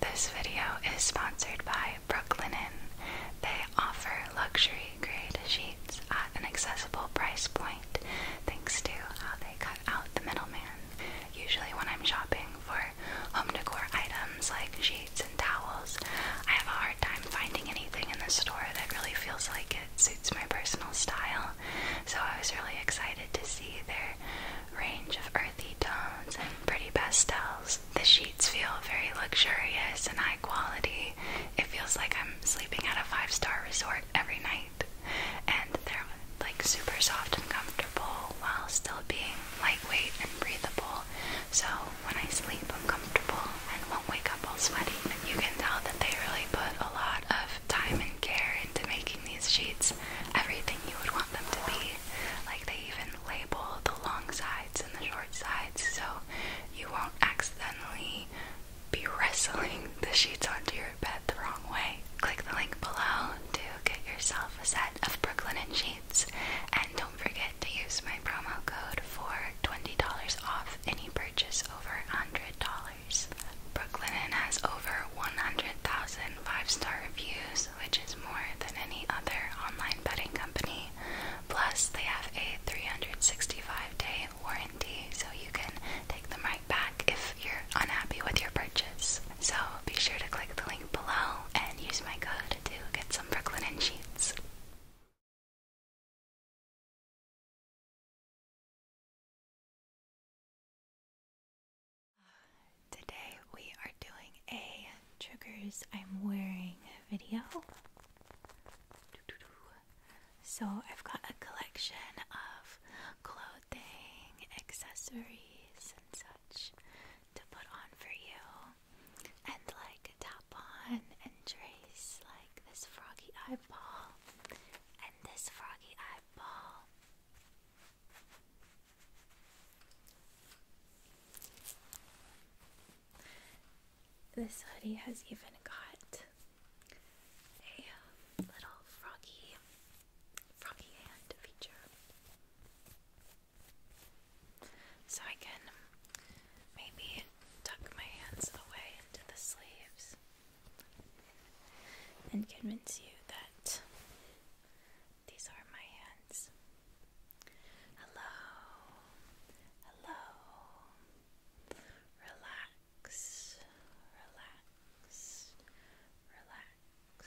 This video is sponsored by Brooklinen. They offer luxury grade sheets at an accessible price point thanks to how they cut out the middleman. Usually when I'm shopping for home decor items like sheets and towels, I have a hard time finding anything in the store that really feels like it suits my personal style. So I was really excited to see their range of earthy tones and pretty pastels. The sheets feel very luxurious and high quality. It feels like I'm sleeping at a five star resort every night. And they're like super soft and comfortable while still being lightweight and breathable. So when I sleep, I'm comfortable and won't wake up all sweaty. You can tell that they really put a lot of time and care into making these sheets everything you would want them to be. Like they even label the long sides and the short sides so you won't accidentally be wrestling the sheets onto your bed the wrong way. Click the link below to get yourself a set of Brooklyn sheets and don't forget to use my promo code for $20 off any purchase over $100. Brooklyn has over 100,000 star reviews which is more than any other online betting company. Plus, they have a 365-day warranty, so you can take them right back if you're unhappy with your purchase. So be sure to click the link below and use my code to get some Brooklyn and sheets. Today we are doing a triggers I'm wearing video. So I've got a collection of clothing, accessories, and such to put on for you. And like tap on and trace like this froggy eyeball and this froggy eyeball. This hoodie has even got a um, little froggy, froggy hand feature. So I can maybe tuck my hands away into the sleeves and convince you that these are my hands. Hello. Hello. Relax. Relax. Relax.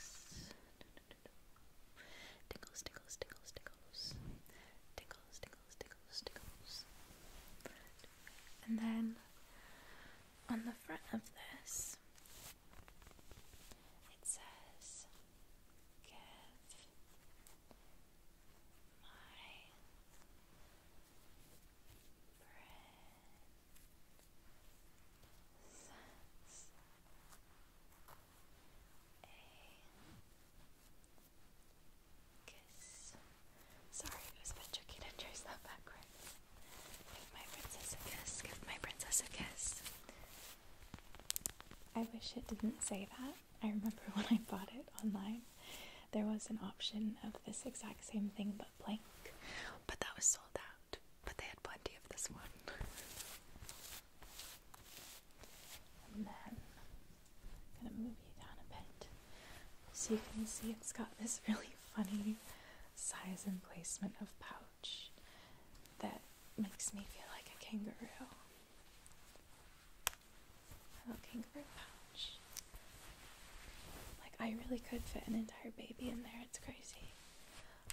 Tickles, tickles, tickles, tickles. Tickles, tickles, tickles, tickles. And then on the front of this, it says, Give my princess a kiss. Sorry, it was a bit tricky to trace that backwards. Give my princess a kiss, give my princess a kiss. I wish it didn't say that. I remember when I bought it online, there was an option of this exact same thing but blank, but that was sold out. But they had plenty of this one. And then I'm gonna move you down a bit so you can see it's got this really funny size and placement of powder that makes me feel like a kangaroo. A kangaroo pouch. Like, I really could fit an entire baby in there. It's crazy.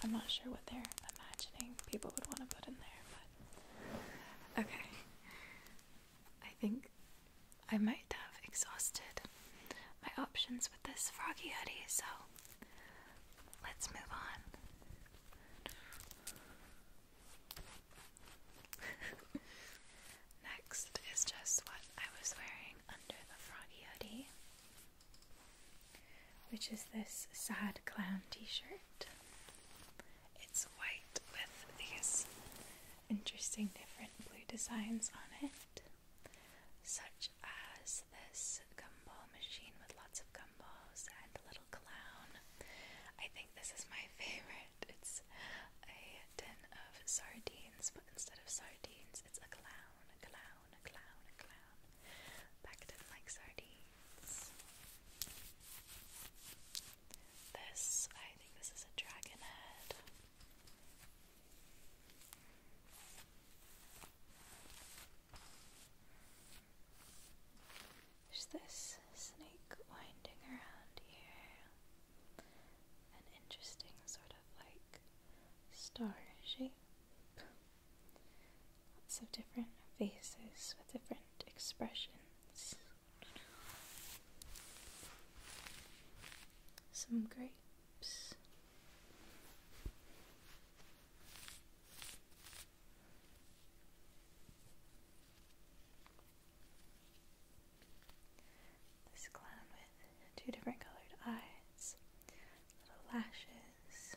I'm not sure what they're imagining people would want to put in there, but. Okay. I think I might have exhausted my options with this froggy hoodie, so let's move on Next is just what I was wearing under the froggy hoodie, which is this sad clown t shirt. It's white with these interesting different blue designs on it, such as this gumball machine with lots of gum Gumbos and Little Clown. I think this is my favorite. It's a den of sardines, but instead of sardines, it's a clown, a clown, a clown, a clown. Packed in like sardines. This, I think this is a dragon head. There's this snake winding around here. An interesting sort of like star shape. Lots of different faces with different expressions. Some grapes. This clown with two different colored eyes, little lashes,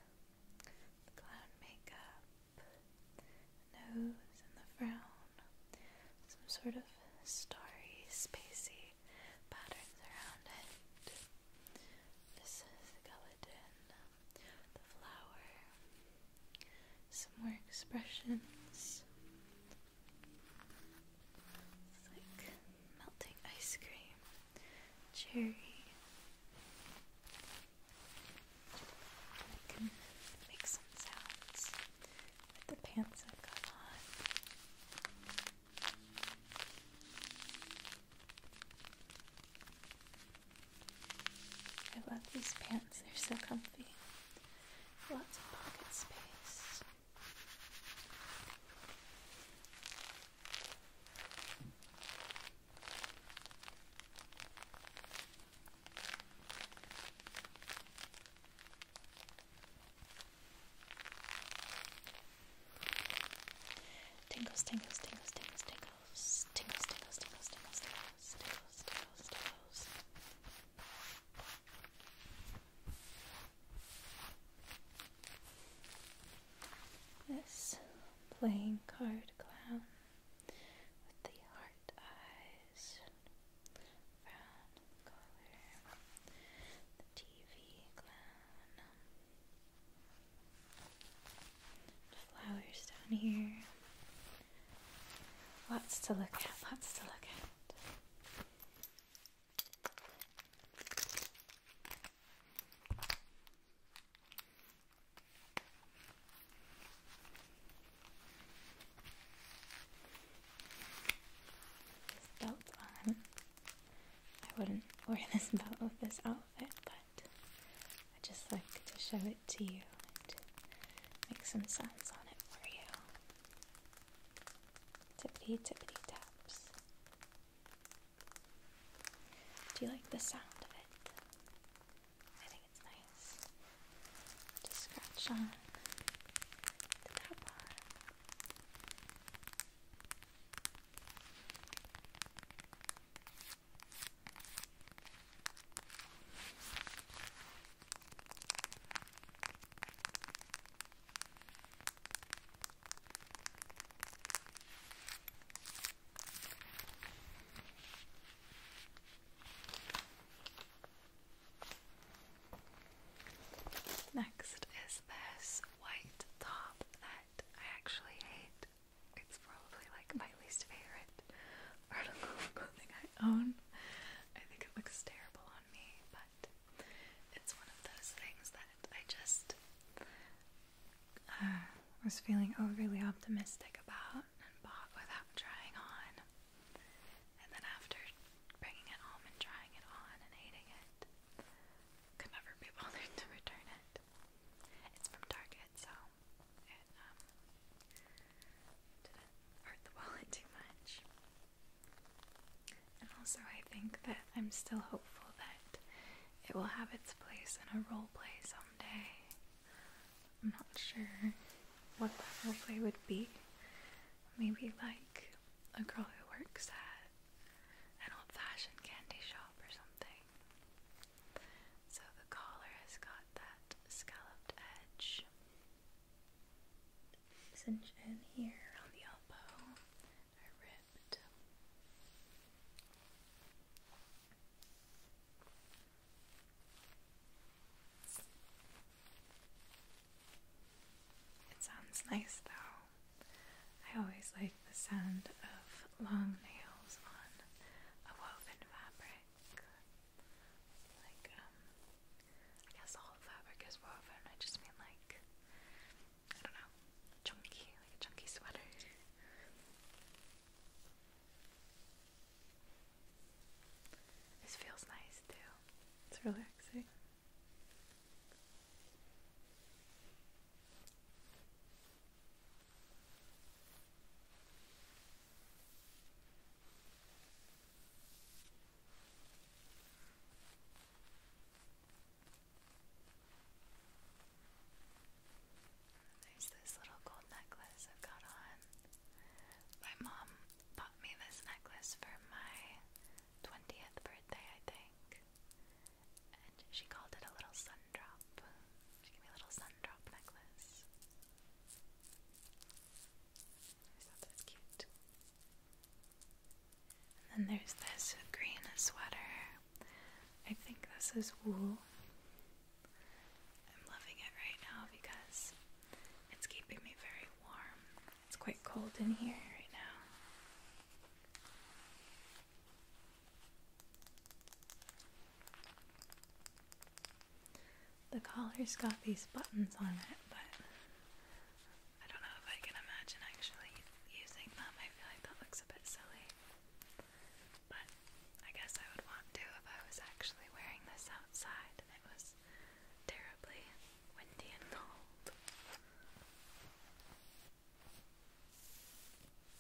the clown makeup, nose and the frown, some sort of starry, spacey patterns around it. This is a the flower, some more expressions. like melting ice cream, cherry. I can make some sounds the pants have got on. I love these pants, they're so comfy. Lots of pocket space. Tingles, tingles, tingles, tingles, tingles. This playing card clown with the heart eyes, brown color, the TV clown. Flowers down here. Lots to look at, lots to look at. This belt on. I wouldn't wear this belt with this outfit, but but I just like to show it to you and make some sounds on it for you. Tippity tippity taps. Do you like the sound of it? I think it's nice. To scratch on the tap on. Next is this white top that I actually hate. It's probably like my least favorite article of clothing I own. I think it looks terrible on me, but it's one of those things that I just uh, was feeling overly optimistic about and bought without trying on. And then after bringing it home and trying it on and hating it, could never be bothered to return it. It's from Target, so it um, didn't hurt the wallet too much. And also, I think that I'm still hopeful that it will have its place in a role play someday. I'm not sure what that role play would be. Maybe like a girl who works at an old fashioned candy shop or something. So the collar has got that scalloped edge. Cinch in here on the elbow are ripped. It sounds nice though. I always like the sound of long nails on a woven fabric. Like, um, I guess all fabric is woven, I just mean like, I don't know, chunky, like a chunky sweater. This feels nice too. It's relaxing. There's this little gold necklace I've got on. My mom bought me this necklace for my 20th birthday, I think. And she called it a little sun sun She gave me a little sun necklace. I thought that was cute. And there's this green sweater. I think this is wool. I'm loving it right now because it's keeping me very warm. It's quite cold in here right now. The collar's got these buttons on it, but I don't know if I can imagine actually using them. I feel like that looks a bit silly. But I guess I would want to if I was actually wearing this outside and it was terribly windy and cold.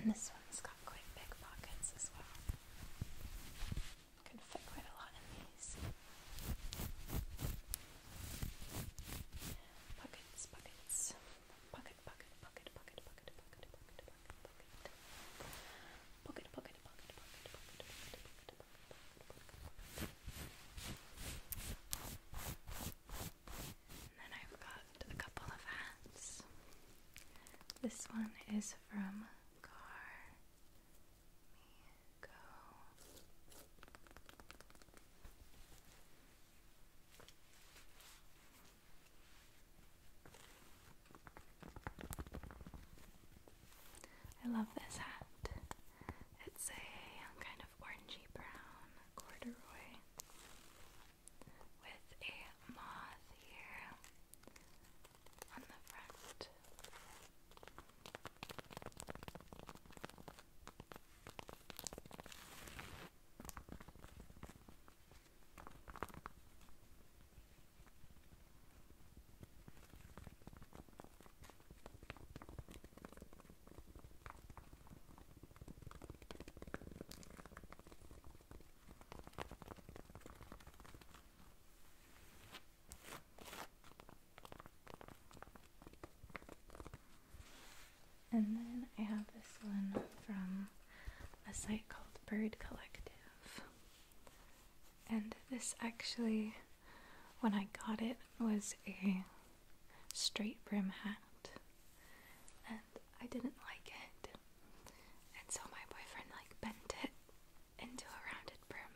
and this one's got quite big pockets as well. Could fit quite a lot in these. Buckets, buckets. Bucket, bucket, bucket, bucket, bucket, bucket, bucket, bucket, bucket. Bucket, bucket, bucket, bucket, then I've got a couple of hats. This one is from Car I love this hat. It's a kind of orangey brown corduroy with a moth here on the front. And then I have this one from a site called Bird Collective. And this actually, when I got it, was a straight brim hat. And I didn't like it. And so my boyfriend like bent it into a rounded brim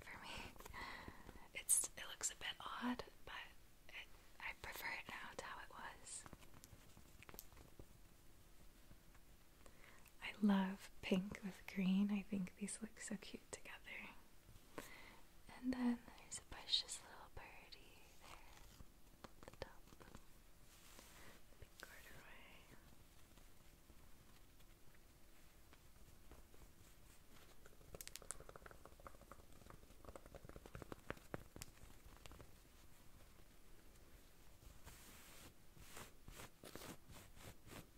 for me. It's it looks a bit odd, but I prefer it now to how it was. I love pink with green. I think these look so cute together. And then there's a precious little birdie there at the top. big corduroy.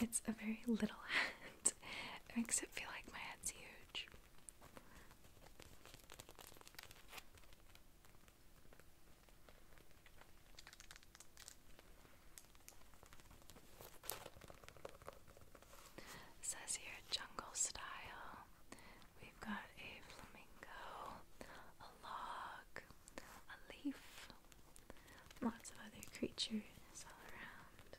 it's a very little hand. It makes it feel like my head's huge. says here jungle style. We've got a flamingo, a log, a leaf, lots of other creatures all around.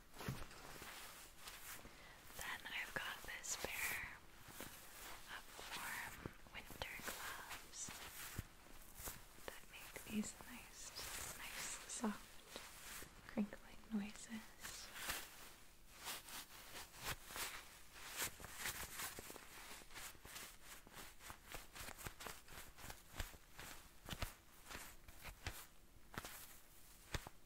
Then I've got this pair of warm winter gloves that make these nice, nice, soft, crinkling noises.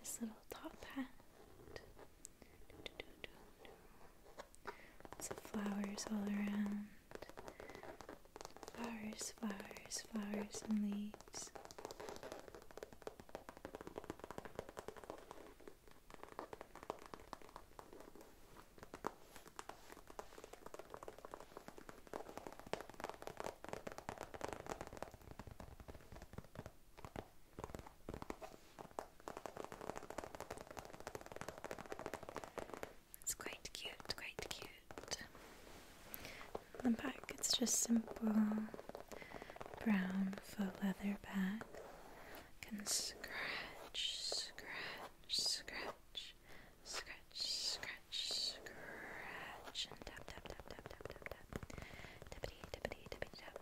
This little top hat. Lots flowers all around. Flowers, flowers, flowers, and leaves. It's quite cute, quite cute. the back, it's just simple brown faux leather bag can scratch, scratch, scratch, scratch, scratch, scratch, and tap, tap, tap, tap, tap, tap, tap, tippity, tippity, tippity, tap.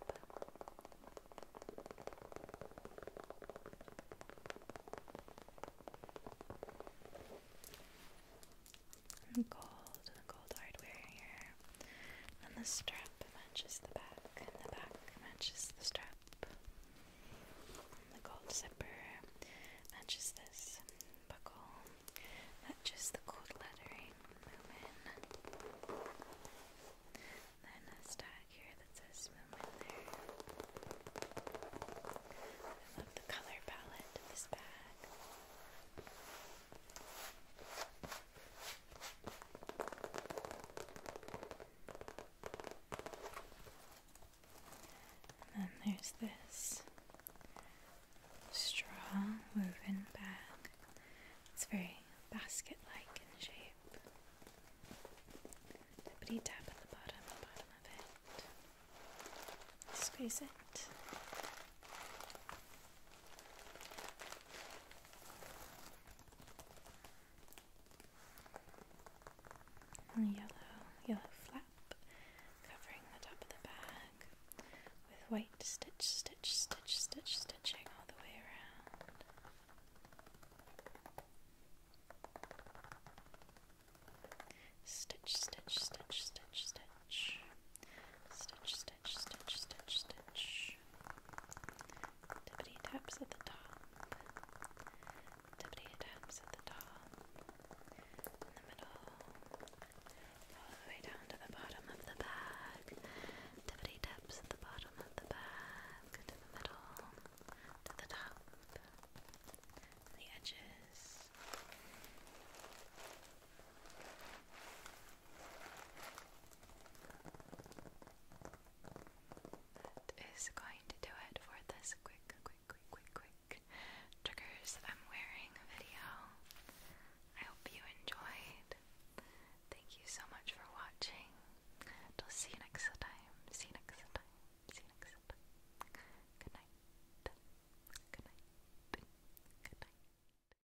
gold the gold hardware here. And the strap matches the back, and the back matches the strap. And the gold zipper matches this buckle, matches the gold lettering. Then a stack here that says Moomin I love the color palette of this bag. And then there's this straw woven bag. It's very basket like in shape. Dippity tap at the bottom, the bottom of it. Squeeze it. And a yellow, yellow flap covering the top of the bag with white stitch, stitch, stitch, stitch, stitching all the way around. Stitch, stitch, stitch, stitch, stitch stitch, stitch, stitch, stitch, stitch, stitch. taps at the top, tippity taps at the top, in the middle, all the way down to the bottom of the bag. Tippity taps at the bottom of the bag, to the middle, to the top, the edges. That is going to do it for this quick, quick, quick, quick, quick triggers I'm wearing video. I hope you enjoyed. Thank you so much for watching. Till see you next time. See you next time. See you next time. Good night. Good night. Good night.